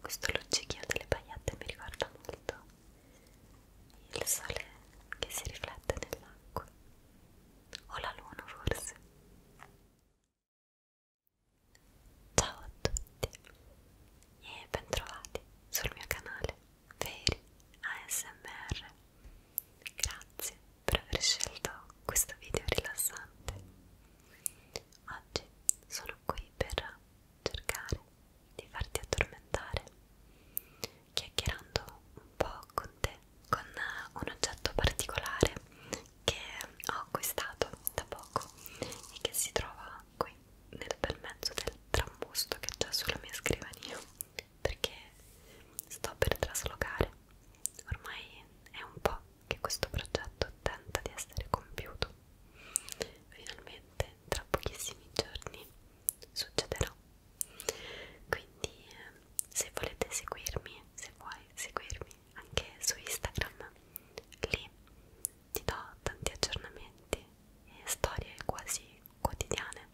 Questo luccichio delle pagliette mi ricorda molto il sole che si riflette nell'acqua o la luna forse ciao a tutti e bentrovati sul mio canale Veri ASMR grazie per aver scelto questo video rilassante oggi sono qui per cercare di farti addormentare chiacchierando un po' con te con eh, un oggetto particolare che ho acquistato da poco e che si trova qui nel bel mezzo del trambusto che c'è sulla mia scrivania perché sto per traslocare ormai è un po' che questo progetto tenta di essere compiuto finalmente tra pochissimi giorni succederà quindi eh, se volete seguirmi se vuoi seguirmi anche su Instagram lì ti do tanti aggiornamenti e storie quasi quotidiane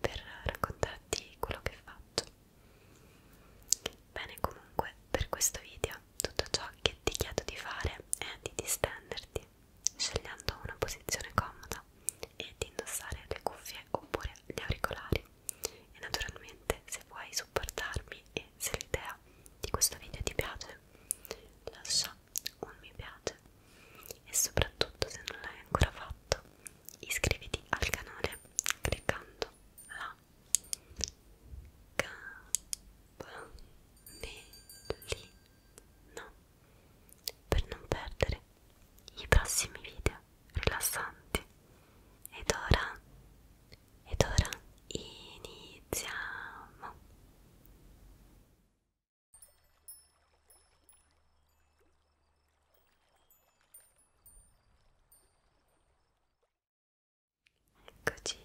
per raccontarti quello che faccio bene comunque per questo video tutto ciò che ti chiedo di fare è di distenderti scegliendo una posizione comoda e di indossare le cuffie oppure gli auricolari e naturalmente se vuoi supportarmi e se l'idea di questo video ti piace lascia un mi piace e soprattutto se non l'hai ancora fatto iscriviti al canale cliccando la campanellina per non perdere i prossimi video rilassanti. Ed ora, ed ora iniziamo. Eccoci,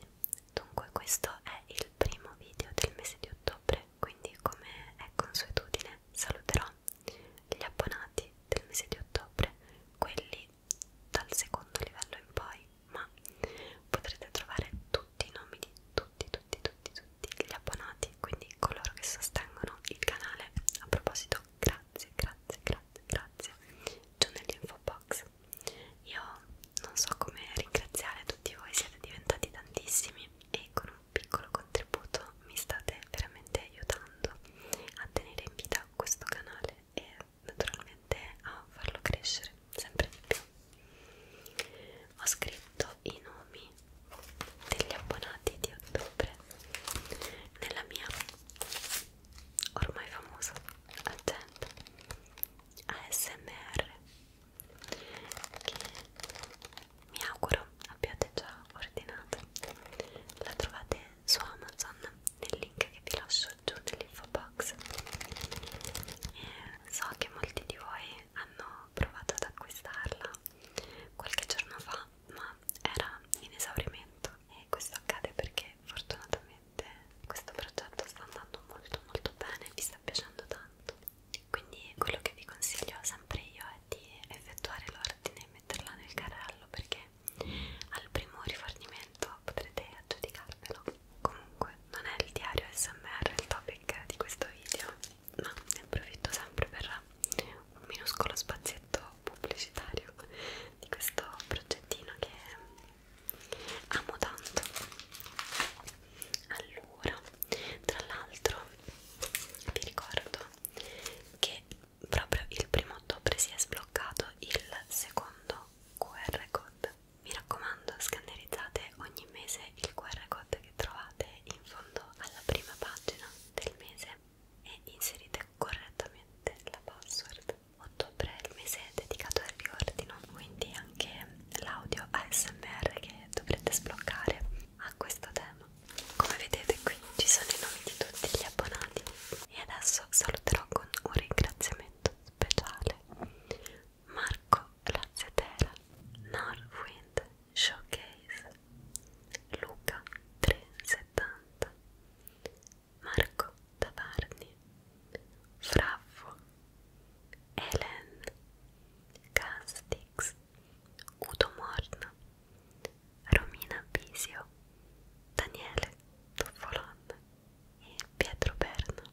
dunque questo è il primo video del mese di ottobre quindi come è consuetudine saluterò gli abbonati del mese di ottobre, quelli dal secondo livello in poi, ma potrete trovare tutti i nomi di tutti, tutti, tutti, tutti gli abbonati, quindi coloro che sostengono il canale. A proposito, grazie, grazie, grazie, grazie, giù nell'info box. Io non so come ringraziare tutti voi, siete diventati tantissimi iscrivervi e con un piccolo contributo mi state veramente aiutando a tenere in vita questo canale e naturalmente a farlo crescere sempre di più. Ho scritto i nomi degli abbonati di ottobre nella mia ormai famosa agenda ASMR che mi auguro abbiate già ordinato la trovate su Amazon nel link che vi lascio giù nell'info box e so che molti di voi hanno provato ad acquistarla qualche giorno fa ma era in esaurimento e questo accade perché fortunatamente questo progetto sta andando molto molto bene e vi sta piacendo tanto quindi quello che vi consiglio sempre io è di effettuare l'ordine e metterla nel carrello perché al primo rifornimento potrete aggiudicarvelo comunque non è il diario smr il topic di questo video ma ne approfitto sempre per un minuscolo spazietto pubblicitario di questo progettino che amo tanto allora tra l'altro vi ricordo che proprio il primo ottobre si è sbloccato il secondo QR code mi raccomando scannerizzate ogni mese il QR code che trovate in fondo alla prima pagina del mese e inserite correttamente la password ottobre è il mese dedicato al riordino quindi anche l'audio ASMR che dovrete sbloccare a questo tema. Come vedete qui ci sono i nomi di tutti gli abbonati e adesso saluterò con un ringraziamento speciale Marco Lazzetera, Norwind Showcase, Luca 370, Marco Tavarni, Fraffo Ellen Castix Udo Morna Romina Bisio Daniele Toffolon e Pietro Berna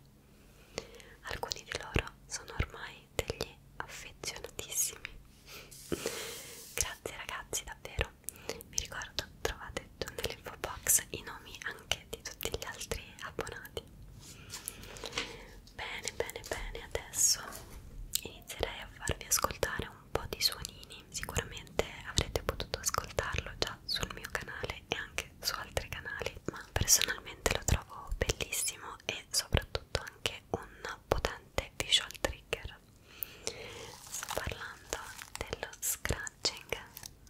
alcuni di loro sono ormai degli affezionatissimi grazie ragazzi davvero vi ricordo trovate nell'info box i nomi anche anche di tutti gli altri abbonati bene bene bene adesso inizierei a farvi ascoltare un po' di suonini sicuramente avrete potuto ascoltarlo già sul mio canale e anche su altri canali ma personalmente lo trovo bellissimo e soprattutto anche un potente visual trigger sto parlando dello scratching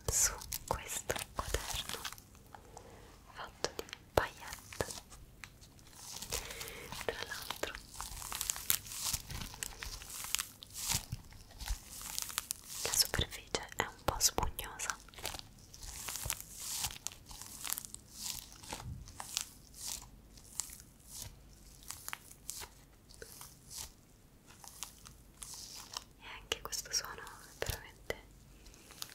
su questo quaderno fatto di paillette tra l'altro la superficie è un po' spugnosa e anche questo suono è veramente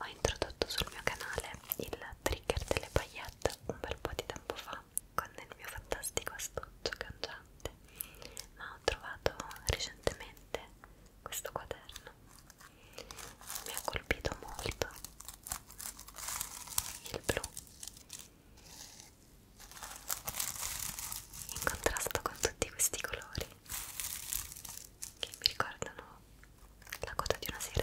Ho introdotto sul mio canale il trigger delle paillette un bel po' di tempo fa con il mio fantastico astuccio cangiante, ma ho trovato recentemente questo quaderno. Mi ha colpito molto il blu in contrasto con tutti questi colori che mi ricordano la coda di una sirena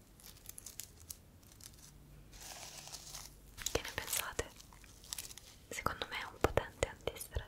Che ne pensate? Secondo me è un potente antistress.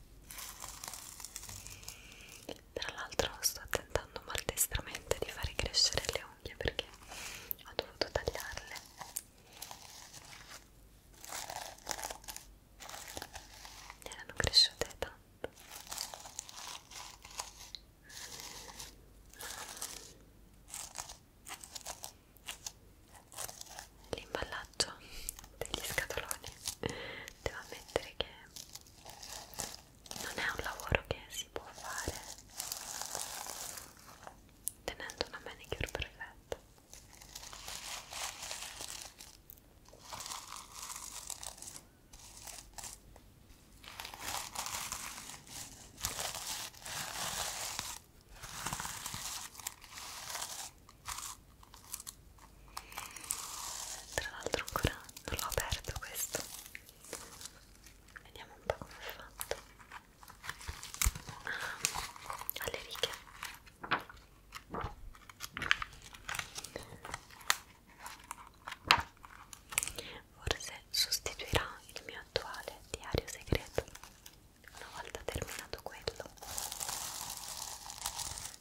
Tra l'altro sto tentando maldestramente di fare crescere le unghie perché ho dovuto tagliarle. Erano cresciute tanto. L'imballaggio degli scatoloni devo ammettere che non è un lavoro che si può fare tenendo una manicure perfetta tra l'altro ancora non l'ho aperto questo vediamo un po' come è fatto ah, alle righe forse sostituirà il mio attuale diario segreto una volta terminato quello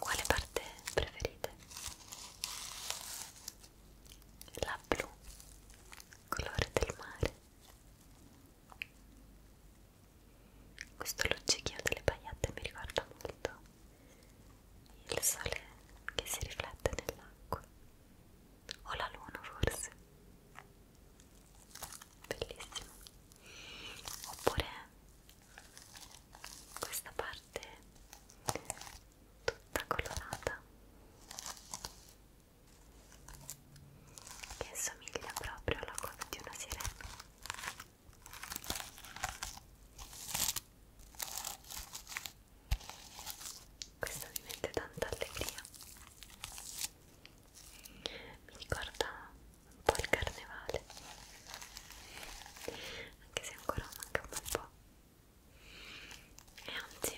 Quale parte preferite? La blu, colore del mare. Questo luccichio delle pagliette mi ricorda molto il sole che si riflette nell'acqua o la luna forse bellissimo oppure questa parte tutta colorata che somiglia proprio alla coda di una sirena questa mi mette tanta allegria. Mi ricorda un po' il carnevale, anche se ancora manca un bel po'. E anzi,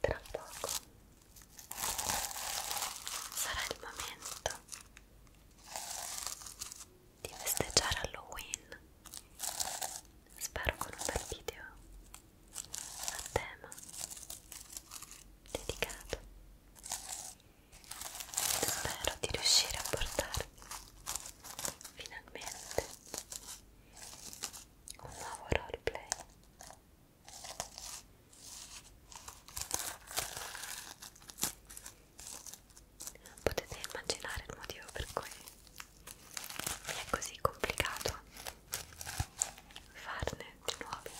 tra poco sarà il momento di festeggiare Halloween spero con un bel video a tema dedicato spero di riuscire a portarvi finalmente un nuovo roleplay Potete immaginare il motivo per cui mi è così complicato farne di nuovi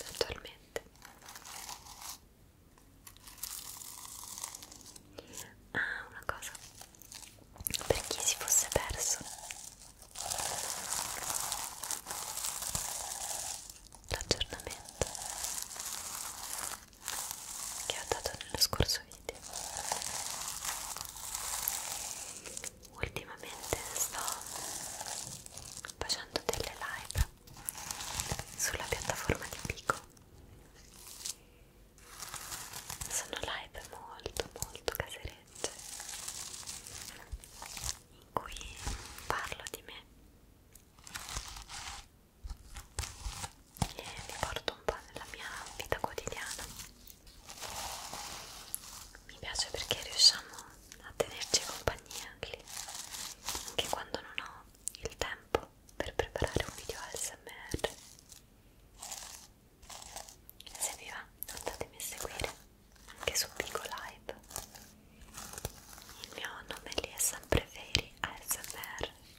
attualmente. Ah, una cosa per chi si fosse perso l'aggiornamento che ho dato nello scorso video ultimamente sto facendo delle live sulla piattaforma di Pico sono live molto molto caserecce in cui parlo di me e vi porto un po' nella mia vita quotidiana mi piace perché riusciamo a tenerci compagnia anche, anche quando non ho il tempo per preparare un video ASMR se vi va andatemi a seguire anche su Pico Live il mio nome lì è sempre Fairy ASMR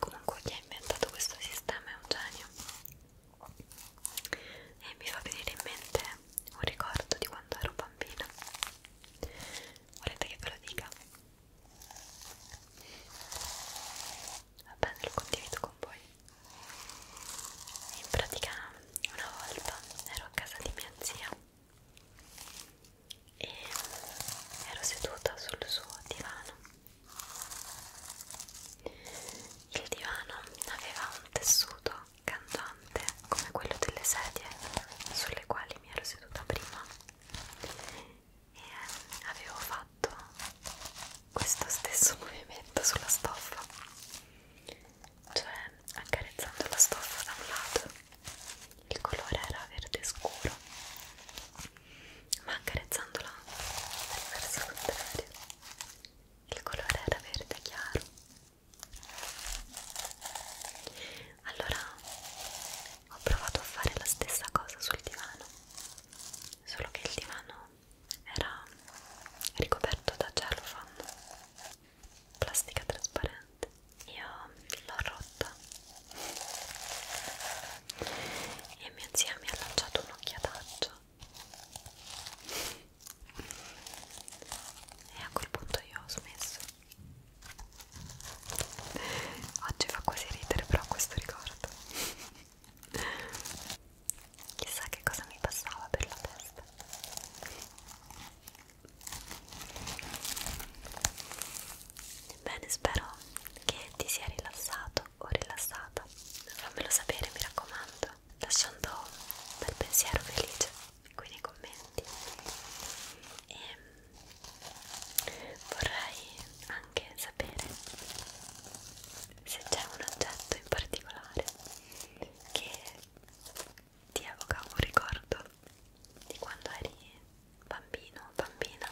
Comunque chi ha inventato questo sistema è un genio e mi fa venire in mente un ricordo di quando ero bambina volete che ve lo dica? Va bene, lo condivido con voi. In pratica, una volta ero a casa di mia zia e ero seduta sul suo divano. Il divano aveva un tessuto cantante come quello delle sedie sulle quali che mi ero seduta prima e eh, avevo fatto questo stesso movimento sulla stoffa cioè accarezzando la stoffa da un lato il colore era verde scuro ma accarezzandola verso il contrario il colore era verde chiaro allora ho provato a fare la stessa cosa sul divano, solo che il divano era ricoperto da cellophane, plastica trasparente. Io l'ho rotta e mia zia mi ha lanciato un'occhiataccia e a quel punto io ho smesso Oggi fa quasi ridere però questo ricordo. Chissà che cosa mi passava per la testa. Bene, spero che ti sia rilassato o rilassata. Fammelo sapere, mi raccomando, lasciando un bel pensiero felice qui nei commenti e ehm, vorrei anche sapere se c'è un oggetto in particolare che ti evoca un ricordo di quando eri bambino o bambina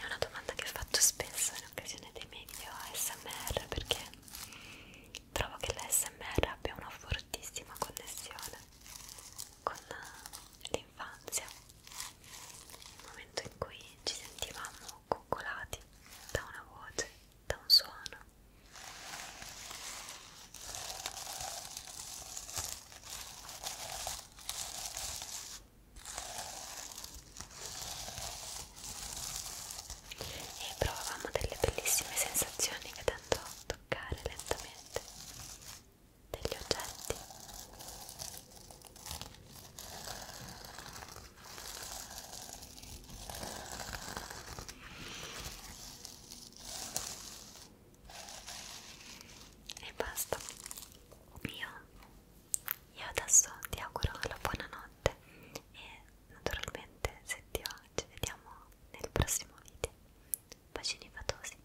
è una domanda che faccio spesso in occasione dei miei video ASMR perché trovo che l'ASMR abbia una fortissima connessione con eh, l'infanzia, il momento in cui ci sentivamo coccolati da una voce, da un suono e provavamo delle bellissime sensazioni vedendo toccare lentamente degli oggetti e basta io, io adesso ti auguro la buonanotte e naturalmente se ti va ci vediamo nel prossimo video. Bacini fatosi.